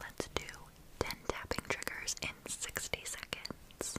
Let's do 10 tapping triggers in 60 seconds.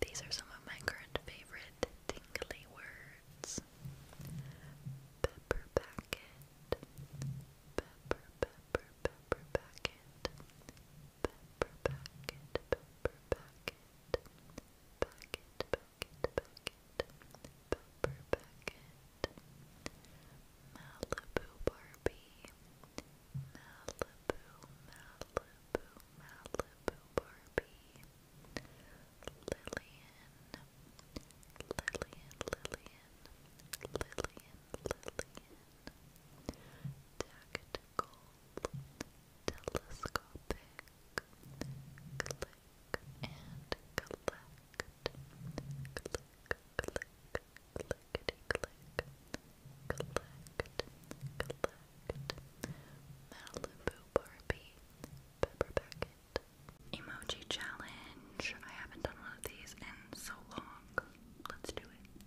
These are some of my current favorite tingly words. Pepper packet. Pepper, pepper, pepper packet. Pepper packet, pepper packet. Packet, packet, packet. Pepper packet. Malibu Barbie, Malibu, Malibu, Malibu Barbie, Lillian, Lillian, Lillian, Lillian, Tactical, Telescopic, Click and Collect, click, clickety click, collect, collect, Malibu Barbie, Pepper Beckett. Emoji challenge. I haven't done one of these in so long. Let's do it.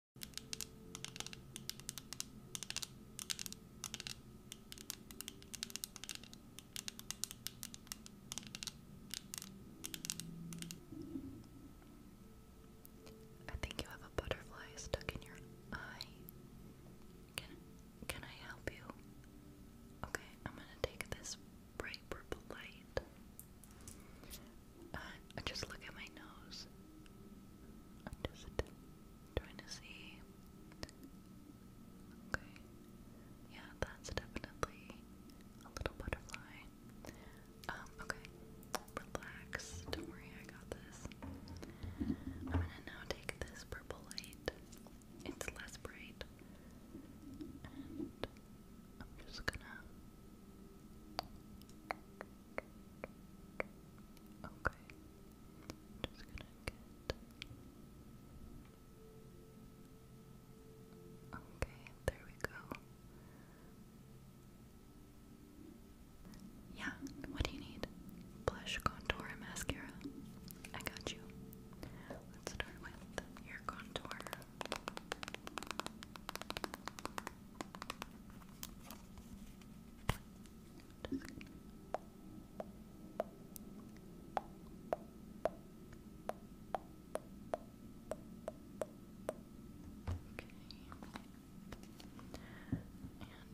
I think you have a butterfly stuck in your eye. Can can I help you? Okay, I'm gonna take this bright purple light uh, just look at my nose. I'm just trying to see. Okay. Yeah, that's definitely a little butterfly. Um, okay. Relax. Don't worry, I got this. I'm gonna now take this purple light. It's less bright. I'm just gonna Okay. Just gonna get. Okay, there we go. Yeah, what do you need? Blush, contour, and mascara. I got you. Let's start with your contour. And I'm going to blend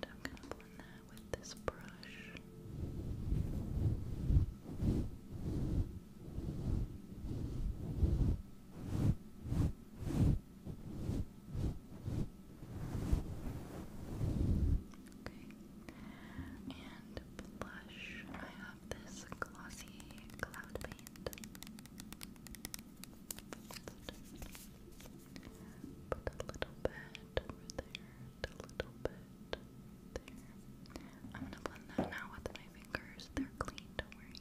that with this brush. Okay. Okay. And blush. I have this glossy cloud paint. Put a little bit over there, a little bit there. I'm gonna blend that now with my fingers. They're clean, don't worry.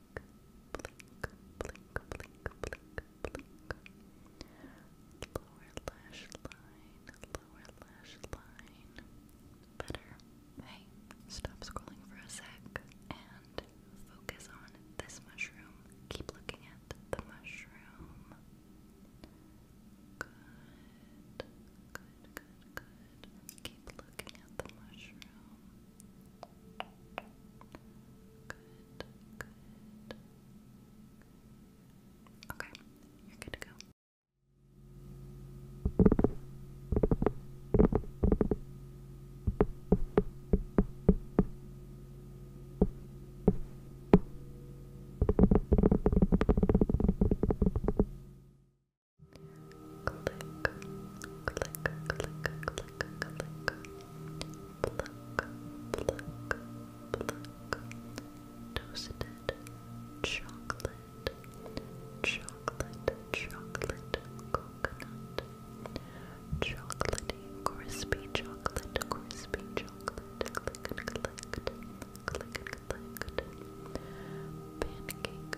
blink, blink, Lower lash line, lower lash line. Better. Hey, stop scrolling for a sec and focus on this mushroom. Keep looking at the mushroom. Good, good, good, good good. Keep looking at the mushroom. Good, good. Okay, you're good to go pluck, toasted chocolate, chocolate, chocolate, coconut, chocolatey, crispy chocolate, crispy chocolate, click and collect, click and collect, pancake,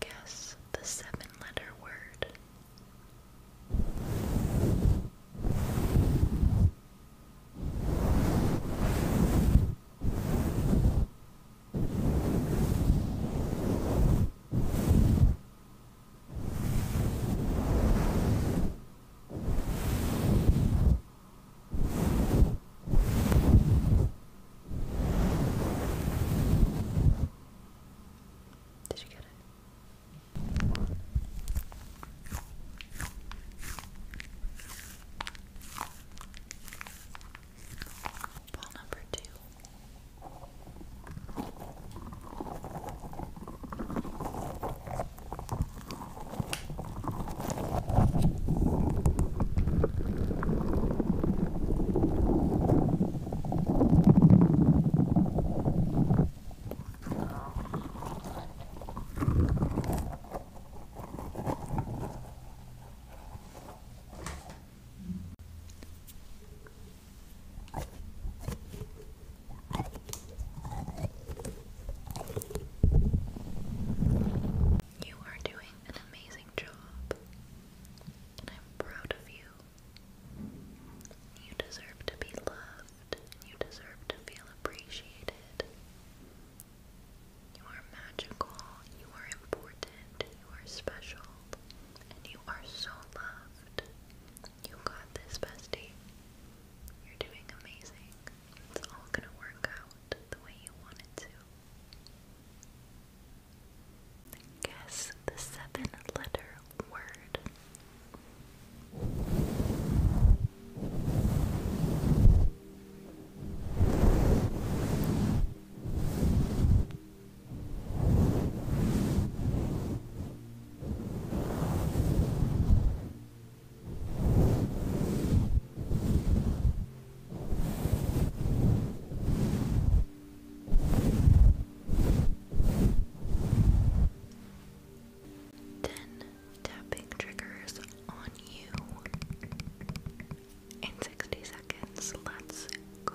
Guess the seven letter word. Did you get it? Ball number two. Ball you are doing an amazing job, and I'm proud of you. You deserve to be loved, you deserve to feel appreciated. You are magical, you are important, you are special and you are so loved. You got this, bestie. You're doing amazing. It's all gonna work out the way you want to. Guess the seven letter word. Then tapping triggers on you in 60 seconds. Let's go.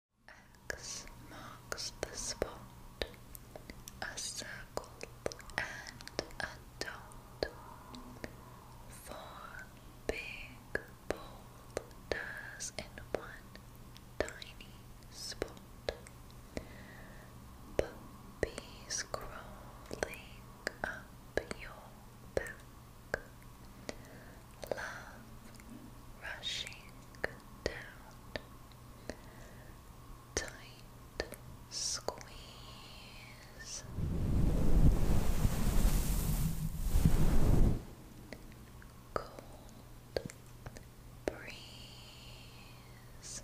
X marks the spot, a circle and a dot. Four big boulders in one tiny spot. Puppies crawling up your back. Love rushing down tight squeeze. Cold breeze.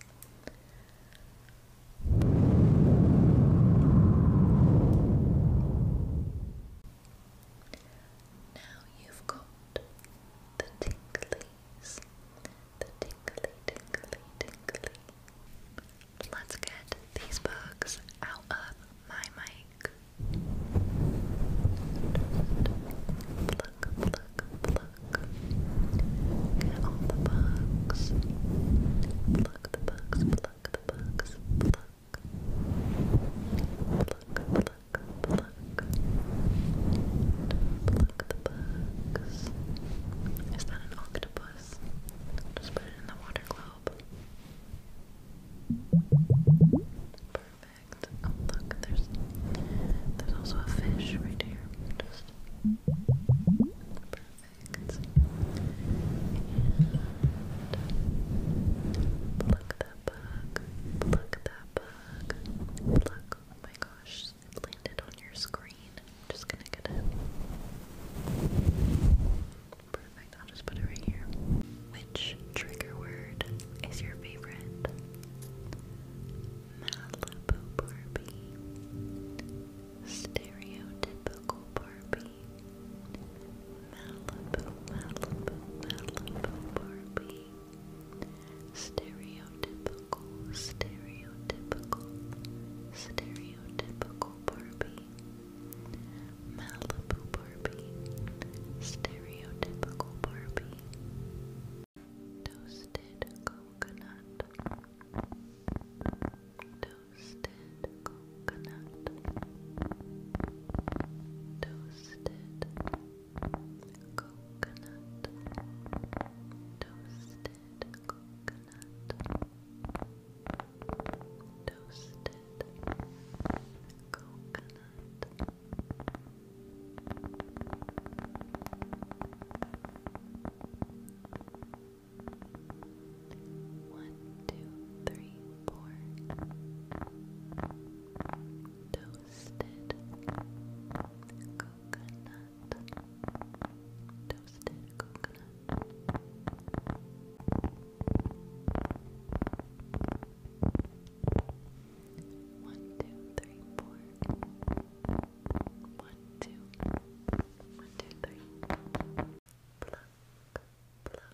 Now you've got the tingly please. The tingly, tingly, tingly. Let's get these bugs out of my mic. Pluck, pluck, pluck. Get all the bugs. Pluck the bugs, pluck the bugs, pluck. Pluck, pluck pluck, pluck the bugs. Is that an octopus? Just put it in the water globe. Perfect. Oh, look, there's there's also a fish right here. perfect. And that bug. Pluck that bug luck. Good Oh my gosh, it landed on your screen. I'm just gonna get it. Perfect, I'll just put it right here. Which trigger word is your favorite? Malibu Barbie. Stereotypical Barbie. Malibu, Malibu, Malibu Barbie. Stereotypical, stereotypical, stereotypical Barbie. Malibu Barbie, stereotypical Barbie. Toasted coconut, toasted coconut, toasted coconut, toasted coconut, toasted coconut. One, two, three, four. Toasted toasted coconut toasted coconut one, two, three, four one, two one, two, three pluck, pluck, pluck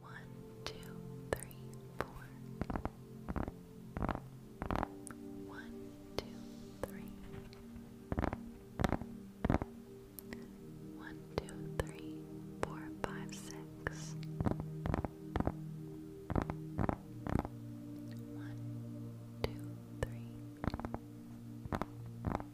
One, two, three, four. One, two, three. One, two, three, four, five, six. One, two, three. One,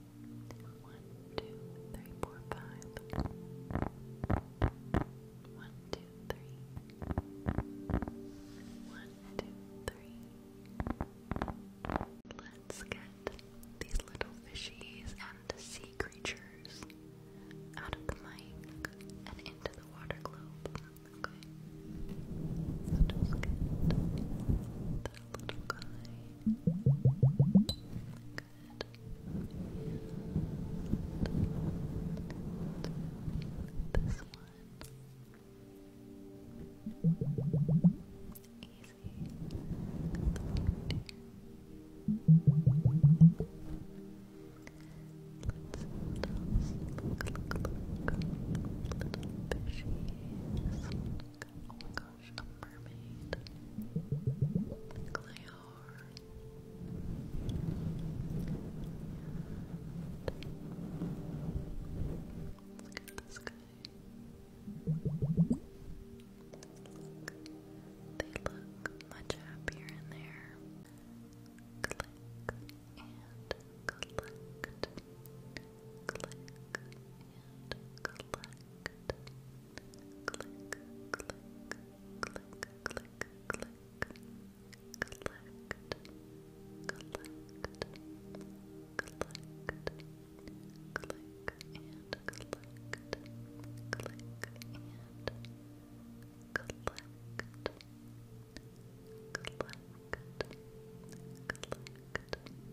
One, two, three, four, five. One, two, three. One, two, three. Let's get these little fishies and sea creatures out of the mic and into the water globe little guy. this one. Easy. Let's gosh, a mermaid. Like they They look much happier in there. Click and collect. Click and collect. Click, click, click, click, click. Collect, collect, collect, click and collect, click and collect, collect, collect,